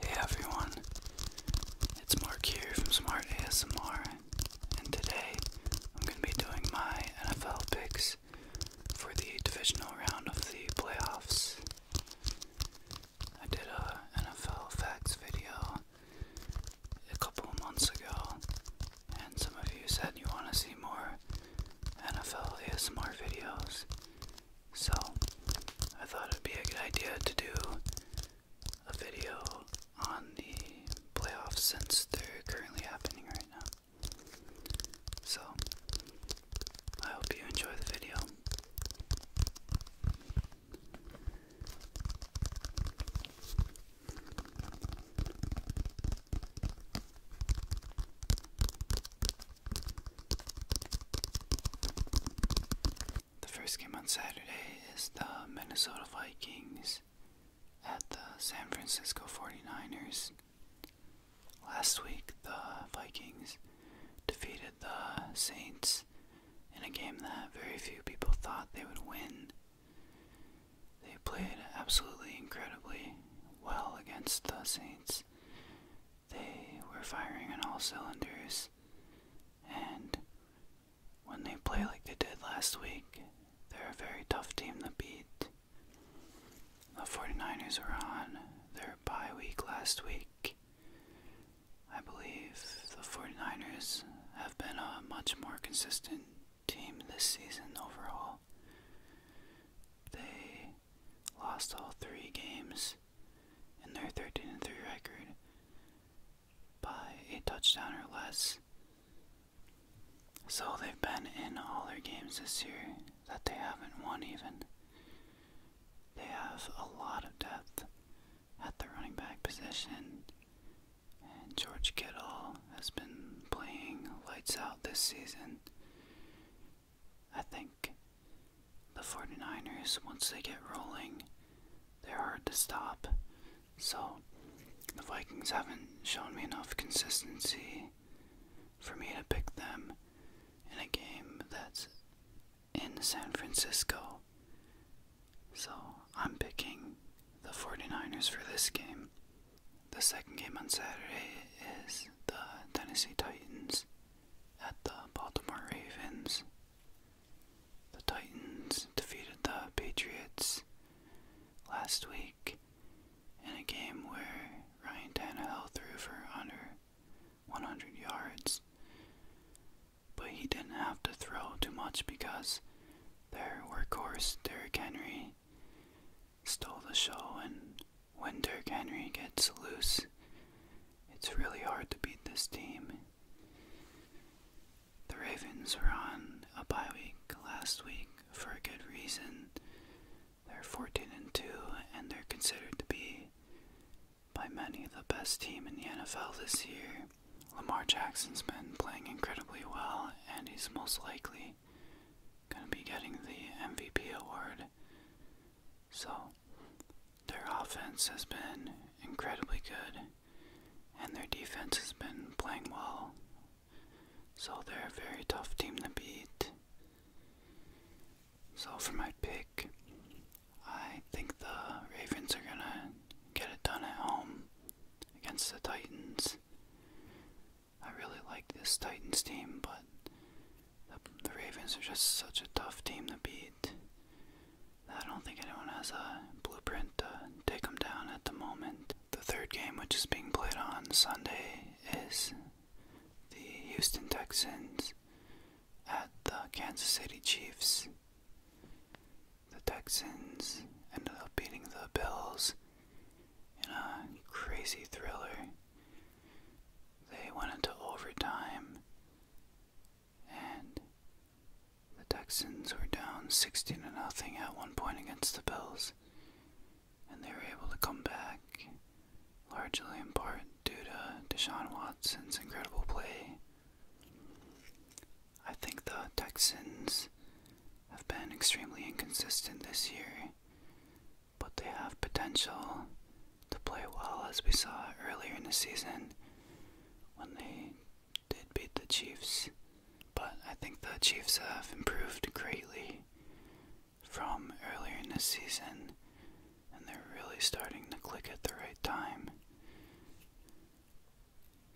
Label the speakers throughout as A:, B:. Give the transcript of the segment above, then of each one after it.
A: Hey everyone, it's Mark here from Smart ASMR, and today I'm going to be doing my NFL picks for the divisional round of the playoffs. I did a NFL facts video a couple months ago, and some of you said you want to see more NFL ASMR videos, so I thought it'd be a good idea to do a video on the playoffs since they're currently happening right now. So I hope you enjoy the video. The first game on Saturday is the Minnesota Vikings at the San Francisco 49ers. Last week, the Vikings defeated the Saints in a game that very few people thought they would win. They played absolutely incredibly well against the Saints they were firing on all cylinders, and when they play like they did last week, they're a very tough team to beat. The 49ers were on their bye week last week. I believe the 49ers have been a much more consistent team this season overall. They lost all three games in their 13 3 record by a touchdown or less. So they've been in all their games this year that they haven't won even. They have a lot of depth at the running back position, and George Kittle has been playing lights out this season. I think the 49ers, once they get rolling, they're hard to stop. So, the Vikings haven't shown me enough consistency for me to pick them in a game that's in San Francisco. So, I'm picking the 49ers for this game. The second game on Saturday is the Tennessee Titans at the Baltimore Ravens. The Titans defeated the Patriots last week in a game where Ryan Tannehill threw for under 100 yards, but he didn't have to throw too much because their workhorse Derrick Henry stole the show, and when Dirk Henry gets loose, it's really hard to beat this team. The Ravens were on a bye week last week for a good reason. They're 14 and 2, and they're considered to be, by many, the best team in the NFL this year. Lamar Jackson's been playing incredibly well, and he's most likely going to be getting the MVP award. So, their offense has been incredibly good, and their defense has been playing well. So, they're a very tough team to beat. So, for my pick, I think the Ravens are going to get it done at home against the Titans. I really like this Titans team, but the, Ravens are just such a tough team to beat. I don't think anyone has a blueprint to take them down at the moment. The third game, which is being played on Sunday, is the Houston Texans at the Kansas City Chiefs the Texans ended up beating the Bills in a crazy thriller. They went into overtime, and the Texans were down 16 to nothing at one point against the Bills, and they were able to come back largely in part due to Deshaun Watson's incredible play. I think the Texans have been extremely inconsistent this year, but they have potential to play well as we saw earlier in the season when they did beat the Chiefs. But I think the Chiefs have improved greatly from earlier in the season and they're really starting to click at the right time.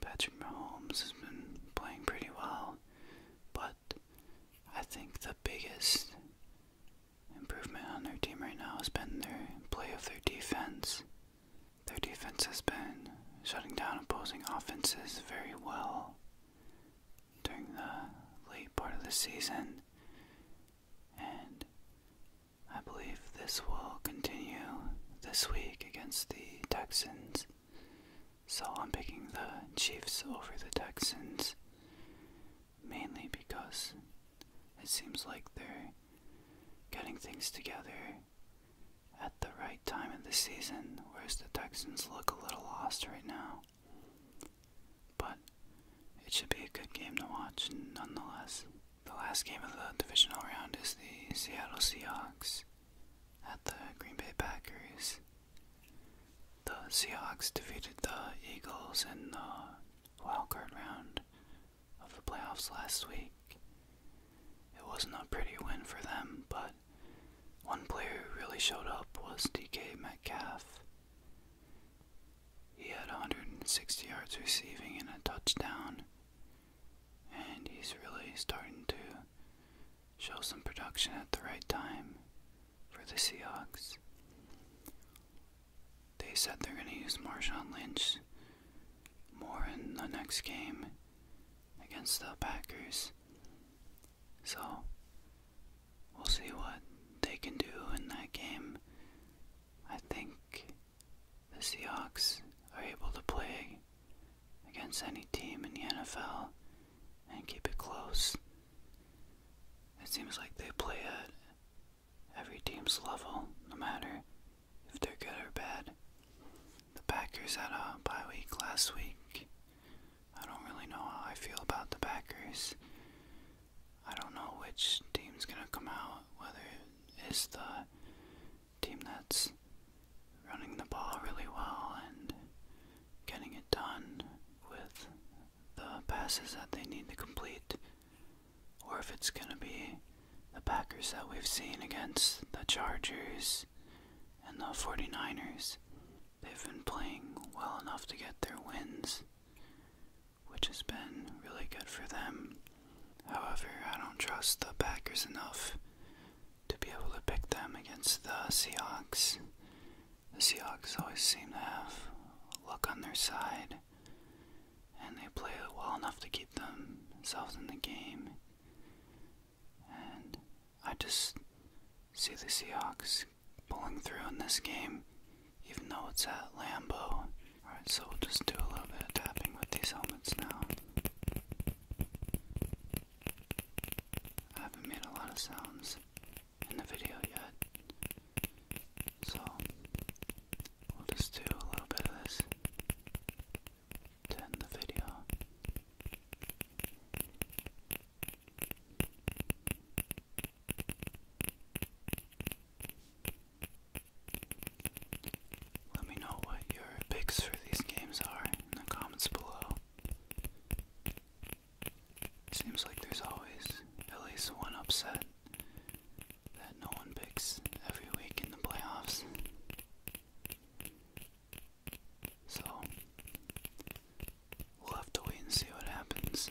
A: Patrick Mahomes has been playing pretty well, but I think the biggest improvement on their team right now has been their play of their defense. Their defense has been shutting down opposing offenses very well during the late part of the season, and I believe this will continue this week against the Texans. So I'm picking the Chiefs over the Texans mainly because it seems like they're getting things together at the right time in the season, whereas the Texans look a little lost right now. But it should be a good game to watch nonetheless. The last game of the divisional round is the Seattle Seahawks at the Green Bay Packers. The Seahawks defeated the Eagles in the wild card round of the playoffs last week. It wasn't a pretty win for them, but one player who really showed up was DK Metcalf. He had 160 yards receiving and a touchdown, and he's really starting to show some production at the right time for the Seahawks. They said they're going to use Marshawn Lynch more in the next game against the Packers. So, we'll see what they can do in that game. I think the Seahawks are able to play against any team in the NFL and keep it close. It seems like they play at every team's level, no matter if they're good or bad. The Packers had a bye week last week. I don't really know how I feel about the Packers. I don't know which team's gonna come out, whether is the team that's running the ball really well and getting it done with the passes that they need to complete, or if it's going to be the Packers that we've seen against the Chargers and the 49ers. They've been playing well enough to get their wins which has been really good for them. However, I don't trust the Packers enough to be able to pick them against the Seahawks. The Seahawks always seem to have luck on their side, and they play well enough to keep themselves in the game. And I just see the Seahawks pulling through in this game even though it's at Lambo. Alright, so we'll just do a little bit of tapping with these helmets now. I haven't made a lot of sounds in the video yet, so we'll just do a little bit of this to end the video. Let me know what your picks for these games are in the comments below. Seems like there's always at least one upset that no one picks every week in the playoffs. So, we'll have to wait and see what happens.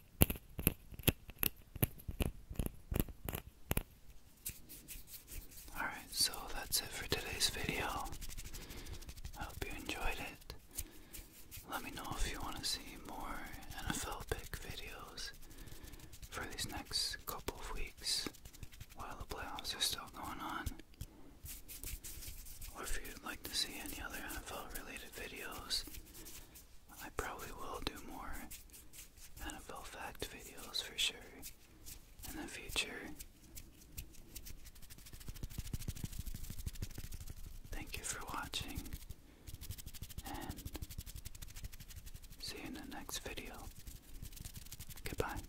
A: Alright, so that's it for today's video. I hope you enjoyed it. Let me know if you want to see more NFL pick videos for these next couple of weeks while the playoffs are still going on. Or if you'd like to see any other NFL related videos, I probably will do more NFL fact videos for sure in the future. Thank you for watching, and see you in the next video. Goodbye.